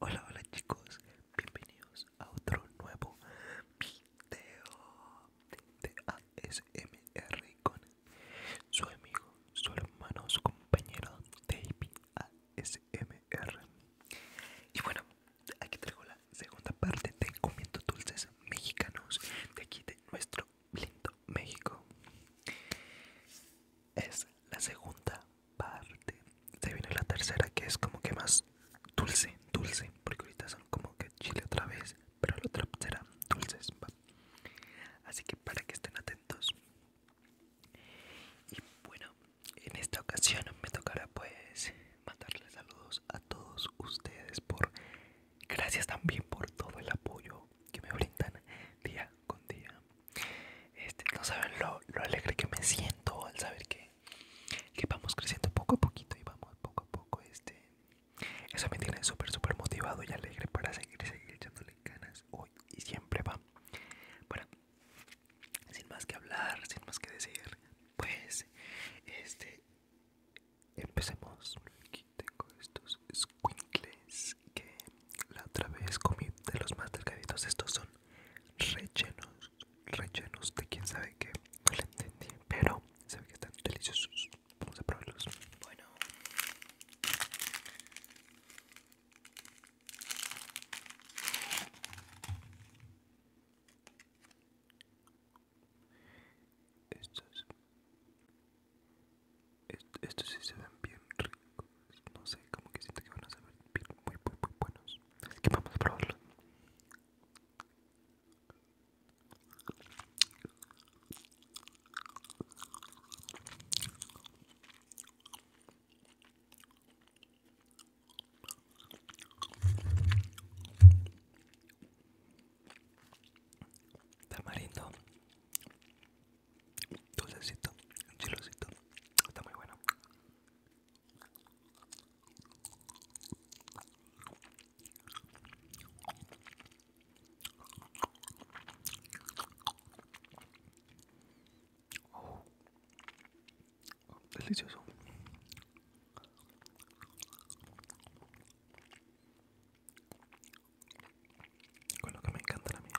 Hola, hola chicos, bienvenidos a otro nuevo video de ASMR con su amigo, su hermano, su compañero David ASMR. Y bueno, Aquí traigo la segunda parte de comiendo dulces mexicanos de aquí de nuestro lindo México. Es la segunda parte. Se viene la tercera que es como que más dulce, dulce, porque ahorita son como que chile otra vez, pero la otra será dulces. Así que para que estén atentos. Y bueno, en esta ocasión me tocará pues mandarles saludos a todos ustedes por gracias también por todo el apoyo que me brindan día con día. Este, no saben lo, alegre que me siento al saber que, que vamos creciendo poco a poquito y vamos poco a poco. Este, eso me tiene súper, súper motivado y alegre para seguir, seguir echándole ganas hoy y siempre va. Bueno, sin más que hablar, sin más que decir, pues este empecemos. Aquí tengo estos squinkles que la otra vez comí de los más delgaditos. Estos son rellenos, rellenos de quién sabe qué. No lo entendí, pero sabe que están deliciosos. Vamos a probarlos. Bueno. Estos, estos sí se ven bien ricos. No sé, como que siento que van a ser bien, muy, muy, muy buenos. Así vamos a probarlos. Tamarindo, dulcecito, Chilocito está muy bueno delicioso. Con lo que me encanta la mía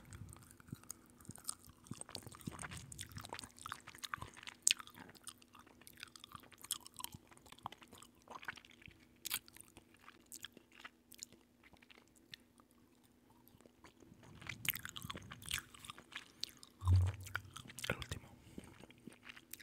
El último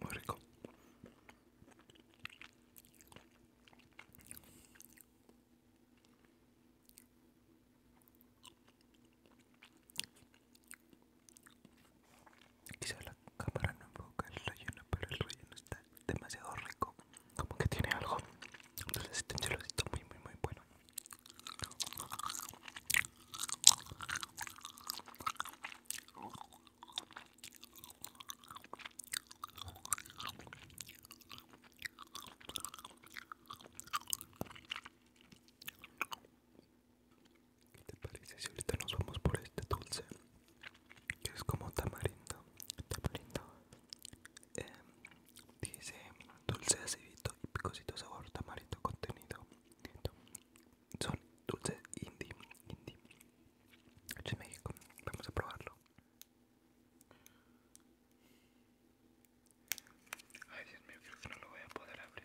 Muy rico. Quizá la cámara no enfoca el relleno, pero el relleno está demasiado rico. Como que tiene algo. Entonces este un celosito muy muy muy bueno. ¿Qué te parece si ahorita nos vamos por este dulce? Que es como tamarindo, tamarindo, eh, Dice dulce acidito y picosito sabor tamarito contenido. Son dulces indie, indie. México. Vamos a probarlo. Ay Dios mío, creo que no lo voy a poder abrir.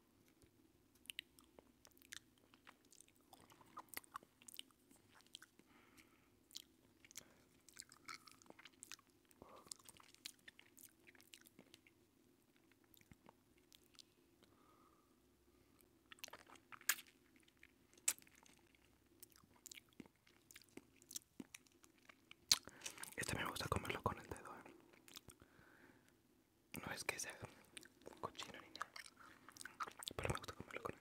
Este me gusta comerlo con el dedo, ¿eh? No es que sea cochino ni nada, pero me gusta como con el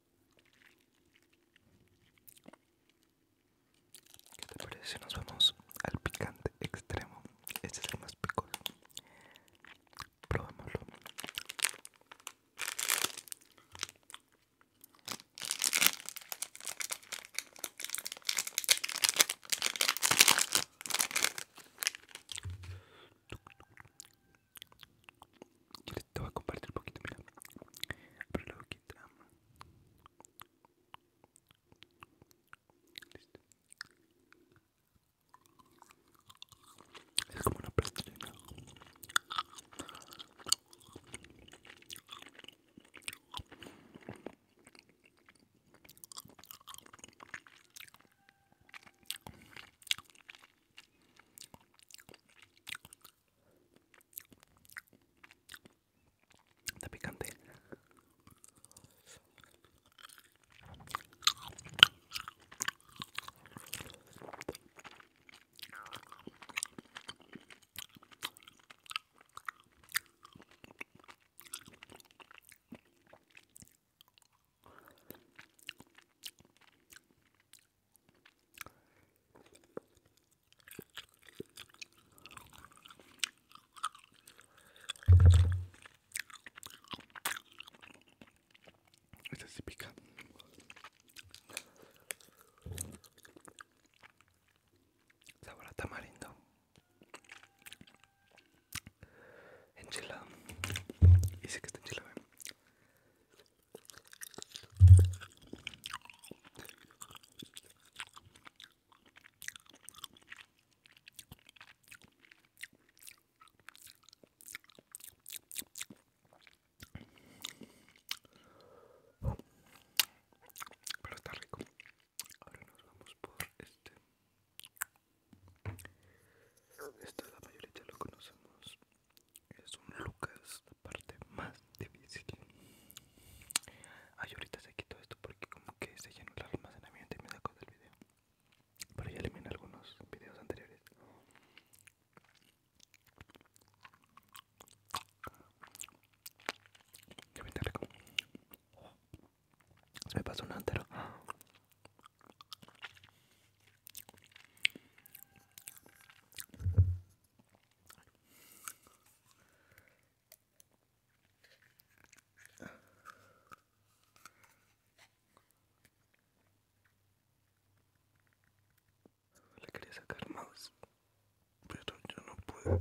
¿Qué te parece si nos vamos al picante extremo? Este es el más picoso. Probémoslo. Yo les te voy a compartir un poquito, mira. Pero lo boquita. Listo. Es como una plastilina. Está picante. Esta sí pica. Sabor a tamarindo. Enchilada. Y sé que está enchilada. ¿eh? Pero está rico. Ahora nos vamos por este. Esta la mayoría lo conocemos. Es un Lucas parte más difícil Ay, ahorita se quito esto porque como que se llenó el almacenamiento y me sacó del video Pero ya eliminé algunos videos anteriores Que me rico Se me pasó un antero le quería sacar mouse, pero yo no puedo.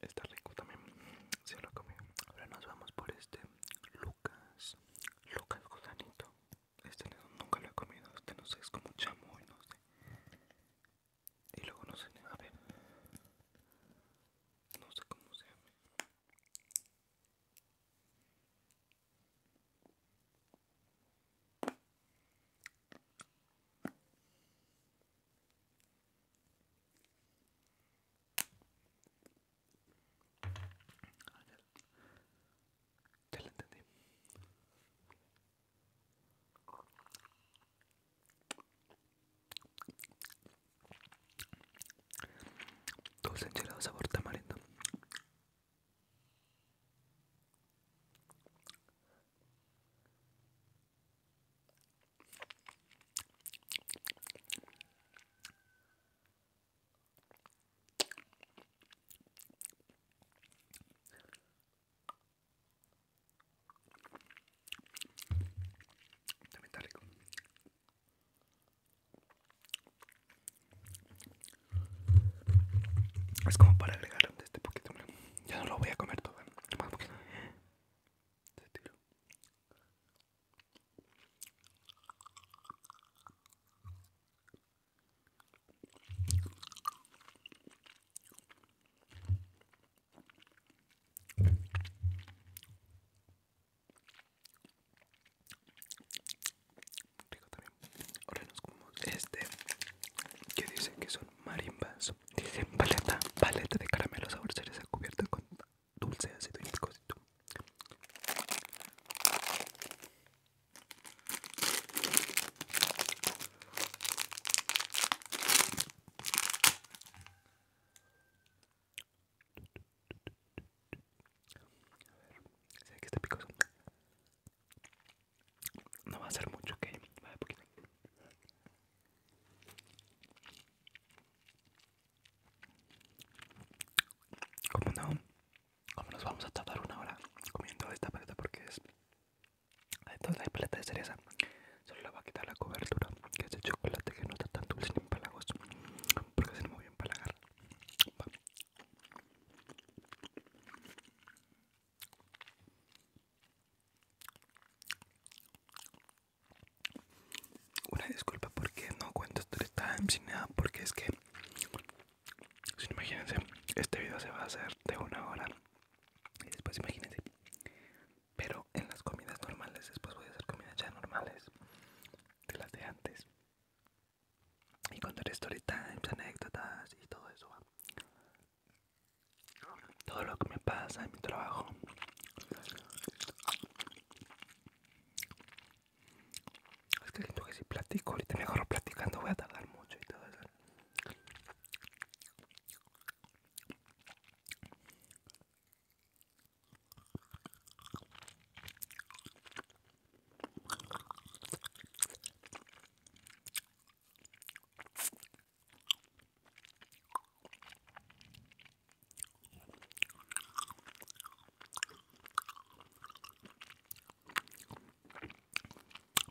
está rico también. Se lo comí. Ahora nos vamos por este Lucas. Lucas Gusanito. Este nunca lo he comido. Este no sé, es como y no sé. Y luego no sé, a ver. No sé cómo se llama. Ya lo entendí. Dulce enchilado sabor tamarindo. También está rico. Es como para agregar de este poquito, Ya no lo voy a comer todo. ¿eh? poquito. Se este tiró Rico también. Ahora nos comemos este que dice que son marimbas. Dice paleta, paleta de caramelo sabor cereza cubierta con dulce, así de picosito. Sé que está picoso. No va a ser mucho, ok. Va a poquito. Como no? Como nos vamos a tardar una hora comiendo esta paleta? Porque es... Entonces la paleta de cereza solo le va a quitar la cobertura, que es de chocolate, que no está tan dulce ni empalagoso, porque se me voy empalagar. Una disculpa porque no cuento story times sin nada, porque es que, si imagínense, este video se va a hacer de una hora y después imagínense, pero en las comidas normales, después voy a hacer comidas ya normales de las de antes y contar story anécdotas y todo eso, todo lo que me pasa en mi trabajo es que siento que si platico, ahorita me platicando, voy a tardar mucho y todo eso.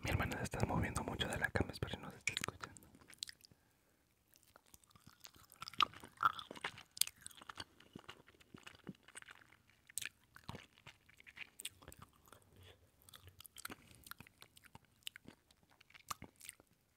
Mi hermana se está moviendo mucho de la cama, espero que no se esté escuchando.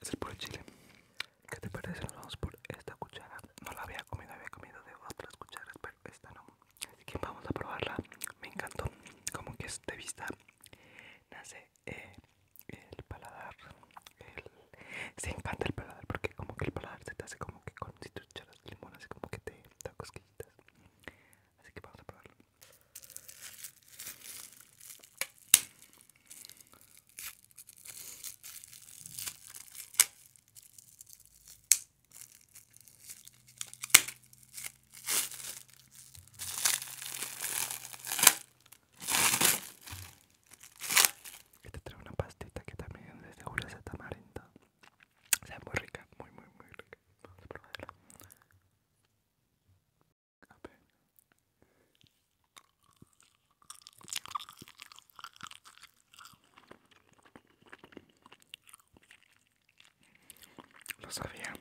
Es el puro chile. ¿Qué te parece? Nos vamos por esta cuchara. No la había comido, había comido de otras cucharas, pero esta no. Así que vamos a probarla. Me encantó. Como que es de vista nace eh, el paladar se encanta el paladar porque como que el paladar se te hace como que con si tú echaras limón así como que te da cosquillitas así que vamos a probarlo este trae una pastita que también es de es de tamarindo. O sea, muy rica, muy, muy, muy rica. Vamos a probarla. Lo sabía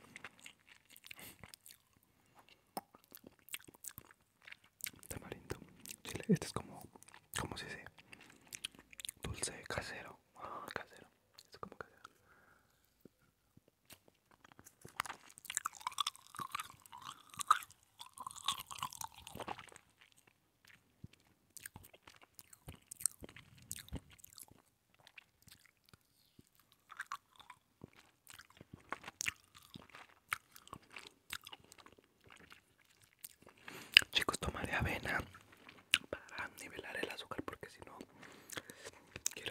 tamarindo, chile. Este es como, como si se dulce casero. Ah, casero. Este es como casero. Chicos, tomaré avena para nivelar el azúcar porque si no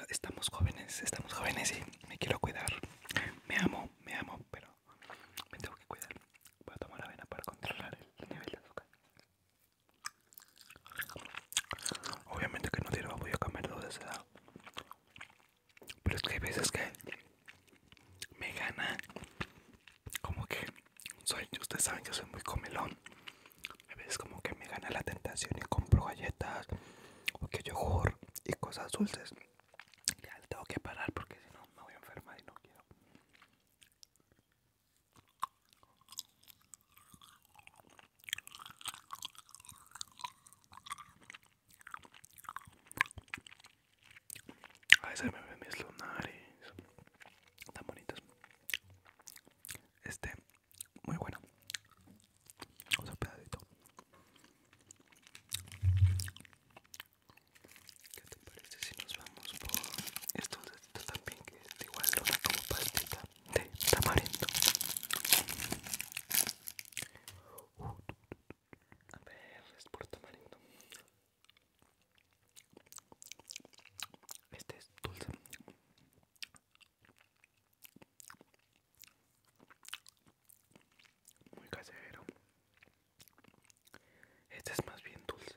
estamos jóvenes, estamos jóvenes y me quiero cuidar. Me amo, me amo, pero me tengo que cuidar. Voy a tomar avena para controlar el nivel de azúcar. Obviamente que no quiero voy a comer de esa edad. Pero es que hay veces que me gana como que soy ustedes saben que soy muy comelón a veces como que me gana la tentación y compro galletas o que yogur y cosas dulces ya tengo que parar porque si no me voy a enfermar y no quiero Ahí se me ven mis lunares tan bonitos. Este, muy bueno. Otro pedacito. ¿Qué te parece si nos vamos por estos deditos también que igual una como pastita de tamarindo? Uh, a ver, es por tamarindo. Este es dulce. Muy casero. Este es más bien dulce.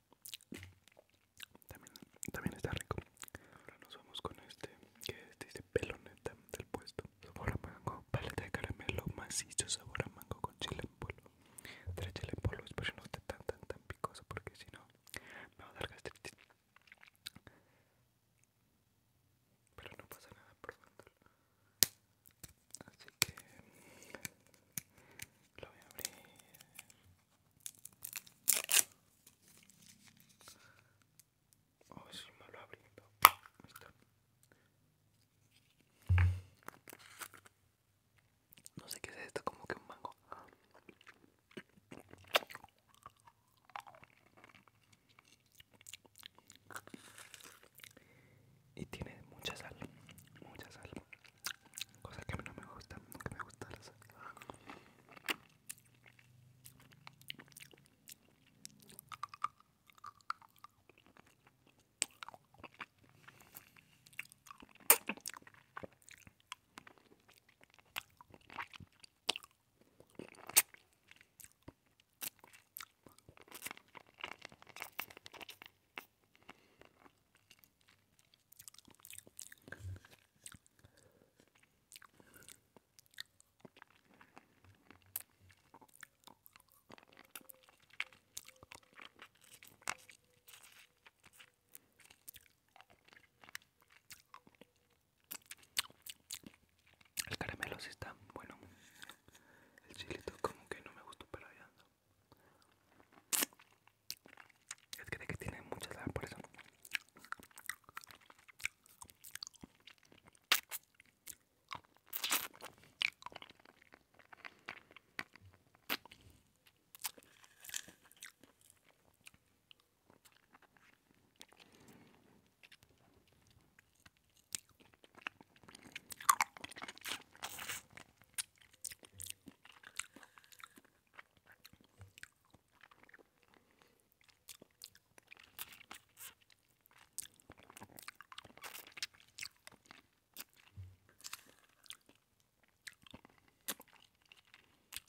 También, también está rico. Ahora nos vamos con este, que es, dice este peloneta del puesto. Sabor a mango, paleta de caramelo macizo, sabor a mango con chile en polvo. Tres chile en polvo, espero no esté tan, tan, tan picoso porque si no me va a dar gastritis. Pero no pasa nada por tanto. Así que lo voy a abrir. Oh si me lo abriendo. No sé qué es esto, como que un mango. Y tiene mucha sal, mucha sal. Cosa que no me gusta, nunca me gusta la el caramelo sí está bueno. El chilito como que no me gustó para allá. Es que, de que tiene muchas sal, por eso.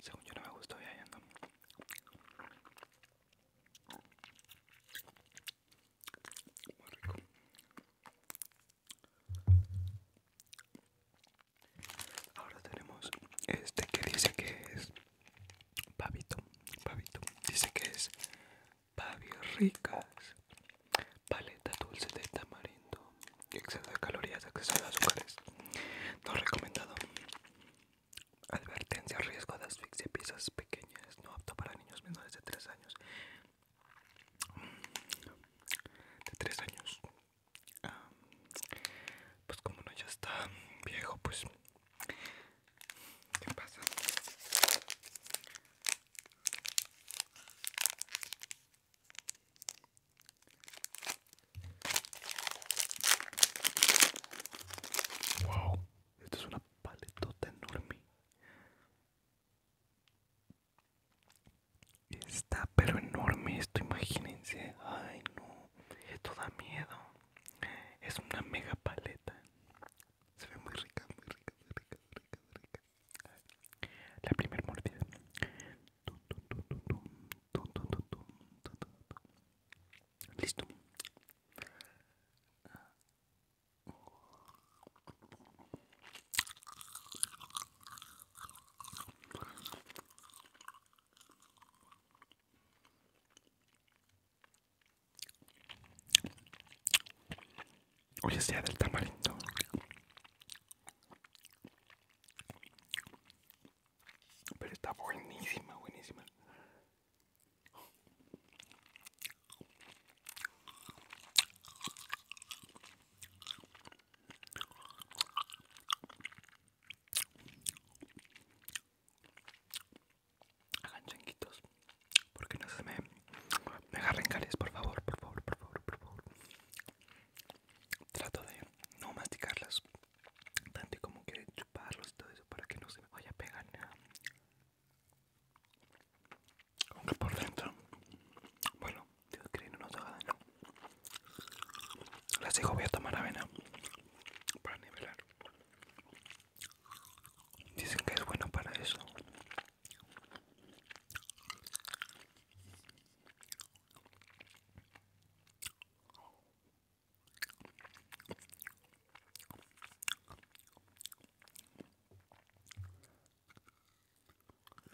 Según yo no me gustó viajando. Muy Ahora tenemos este que dice que es pavito, pavito, dice que es pavios ricas, paleta dulce de tamarindo, exceso de calorías, exceso de azúcares, no recomendado, advertencia, riesgo de asfixia, piezas pequeñas, no apto para niños menores de 3 años, de 3 años, Ah, pues como no ya está viejo pues qué pasa wow esto es una paletota enorme Está pero enorme esto, imagínense. Ay no, esto da miedo. Es una mega paleta. Se ve muy rica, muy rica, muy rica, rica, rica. La primera mordida. Listo. Hoy es día del tamarindo. Pero está buenísima, buenísima. Hagan chanquitos porque no se me, me agarren caries, por favor, por favor, por favor, por favor. Trato de no masticarlas tanto y como que chuparlos y todo eso para que no se me vaya a pegar nada. Aunque por dentro, bueno, Dios que no nos haga daño. Las digo, voy a tomar avena para nivelar. Dicen que es bueno para eso.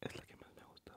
Es la que más me gusta.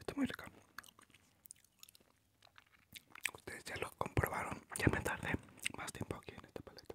Está muy rica. Ustedes ya lo comprobaron. Ya me tardé más tiempo aquí en esta paleta.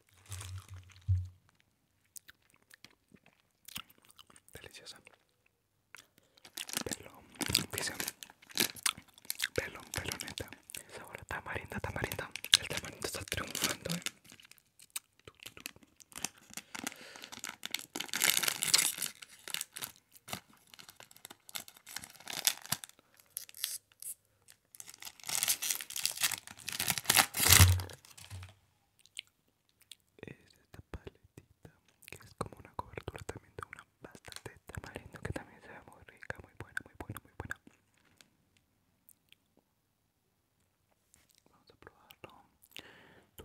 Deliciosa. Pelón, dicen. Pelón, peloneta. Sabor a tamarindo tamarindo El tamarindo está triunfando, eh. Es esta paletita que es como una cobertura también de una bastante tamarindo que también se ve muy rica, muy buena, muy buena, muy buena. Vamos a probarlo. Tú.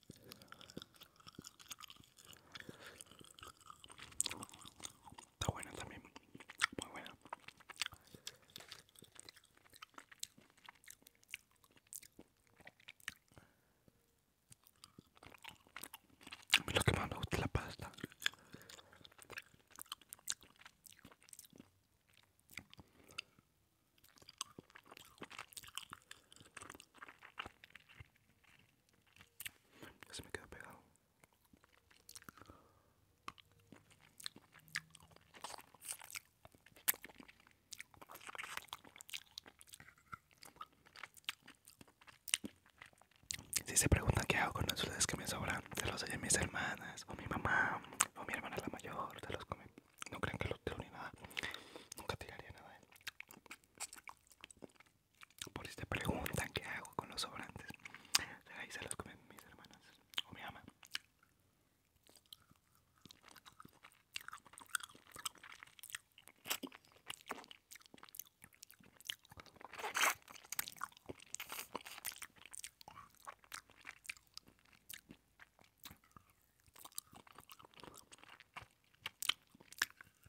Está buena también, muy buena. A lo que más me gusta la pasta se me quedo pegado. Si se preguntan qué hago con las dulces que me sobran, se los doy a mis hermanas, o mi mamá, o mi hermana la mayor, te los comen No crean que los tiro ni nada. Nunca tiraría nada. ¿eh? por esta pregunta que hago con los sobrantes. Ahí se los comen mis hermanas o mi ama.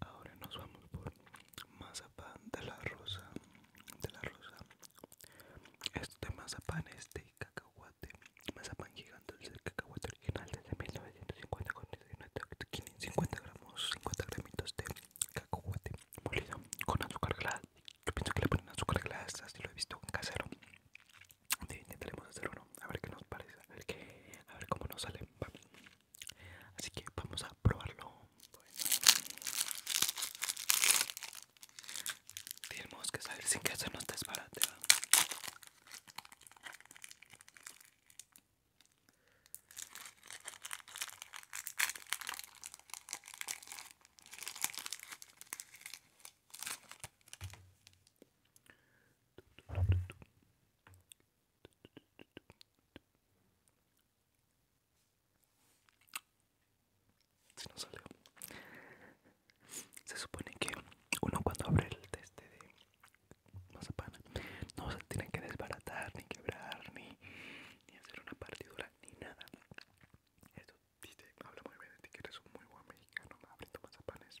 Ahora nos vamos por mazapán de la rosa, de la rosa. Este mazapán es de cacahuate, mazapán gigante, es el cacahuate original de 1950 con 50 gramos, 50 gramitos de cacahuate molido con azúcar glass. Yo pienso que le ponen azúcar glass, así lo he visto en casero. Intentaremos hacer uno, a ver qué nos parece, a ver, cómo nos sale. Así que vamos a probarlo. Tenemos que salir sin que no nos desbarate. Si no salió. Se supone que uno cuando abre el test de mazapán no se tiene que desbaratar, ni quebrar, ni, hacer una partidura, ni nada. Esto dice, habla muy bien de ti que eres un muy buen mexicano abriendo mazapanes.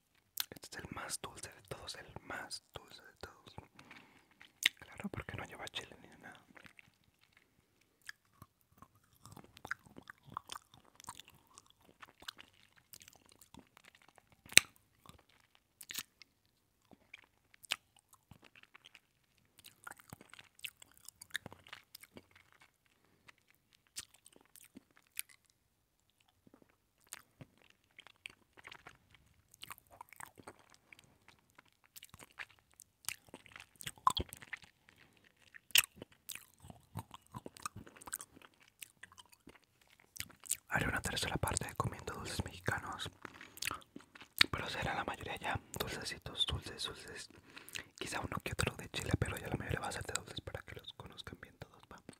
Este es el más dulce de todos, el más dulce de todos. Claro, porque no lleva chile ni nada. Haré una tercera parte comiendo dulces mexicanos, pero será la mayoría ya dulcecitos, dulces, dulces. Quizá uno que otro de Chile, pero ya la mayoría va a ser de dulces para que los conozcan bien todos. vamos.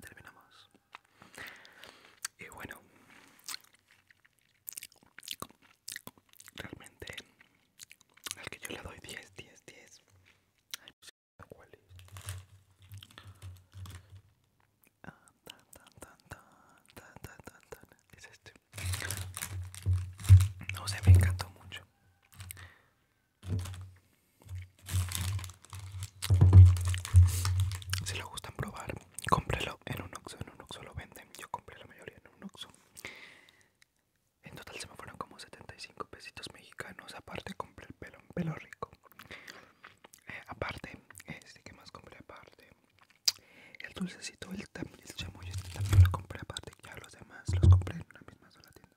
terminamos y bueno realmente al que yo le doy 10 10 10 No sé ¿cuál es? este no sé me encantó mucho si lo gustan probar, cómprelo en un Oxxo, en un Oxxo lo venden. Yo compré la mayoría en un Oxxo. En total se me fueron como 75 pesitos mexicanos. Aparte compré el pelo, pelo rico. Eh, aparte, este que más compré aparte. El dulcecito, el, chamoy, este también lo compré aparte. Ya los demás los compré en una misma sola tienda.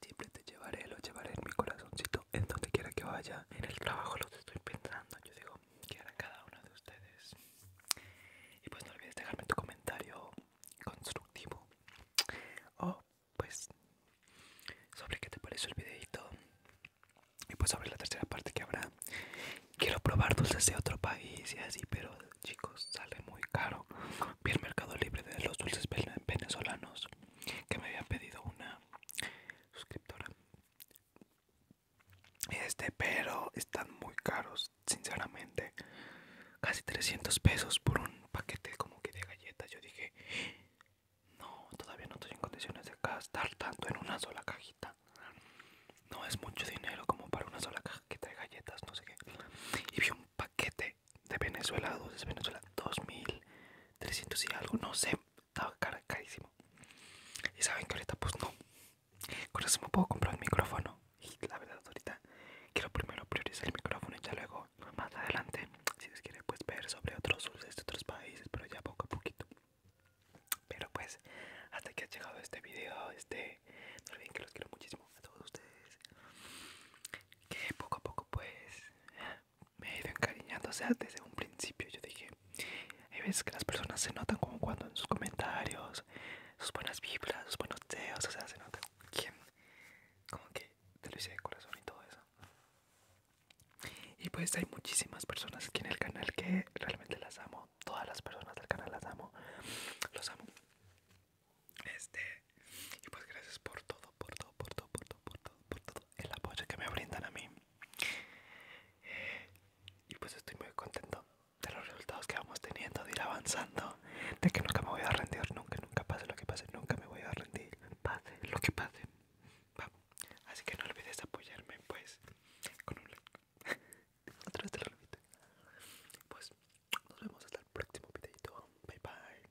Siempre te llevaré, lo llevaré en mi corazoncito, en donde quiera que vaya. En el trabajo lo estoy pensando, yo digo, que hará cada uno de ustedes? Y pues no olvides dejarme tu comentario constructivo. O pues sobre qué te pareció el videito. Y pues sobre la tercera parte que habrá. Quiero probar dulces de otro país y así, pero chicos, sale muy caro. Vi el mercado libre de los dulces venezolanos que me había pedido una suscriptora este pero están muy caros sinceramente casi 300 pesos por un paquete como que de galletas yo dije no todavía no estoy en condiciones de gastar tanto en una sola cajita no es mucho dinero como para una sola caja que trae galletas no sé qué y vi un paquete de, de Venezuela, de Venezuela, 2300 y algo, no sé, estaba carísimo. Y saben que ahorita pues no. Con eso me puedo comprar el micrófono. Y la verdad ahorita quiero primero priorizar el micrófono y ya luego más adelante, si les quiere pues ver sobre otros de otros países, pero ya poco a poquito. Pero pues hasta que ha llegado este video, este, no olviden que los quiero muchísimo a todos ustedes. Que poco a poco pues me he ido encariñando, o sea, desde un principio yo dije, hay veces que las personas se notan como cuando en sus comentarios, sus buenas vibras, sus buenos deseos, o sea, se nota como que te lo hice de corazón y todo eso. Y pues hay muchísimas personas aquí en el canal que realmente las amo, todas las personas del canal las amo, los amo. Este, y pues gracias por todo, por todo, por todo, por todo, por todo, el apoyo que me brindan a mí. Y pues estoy muy contento de los resultados que vamos teniendo, de ir avanzando, de que nunca me voy a rendir, nunca, nunca pase lo que pase, nunca me voy a rendir, pase lo que pase. Así que no olvides apoyarme, pues, con un like. Otra vez lo Pues nos vemos hasta el próximo video Bye bye.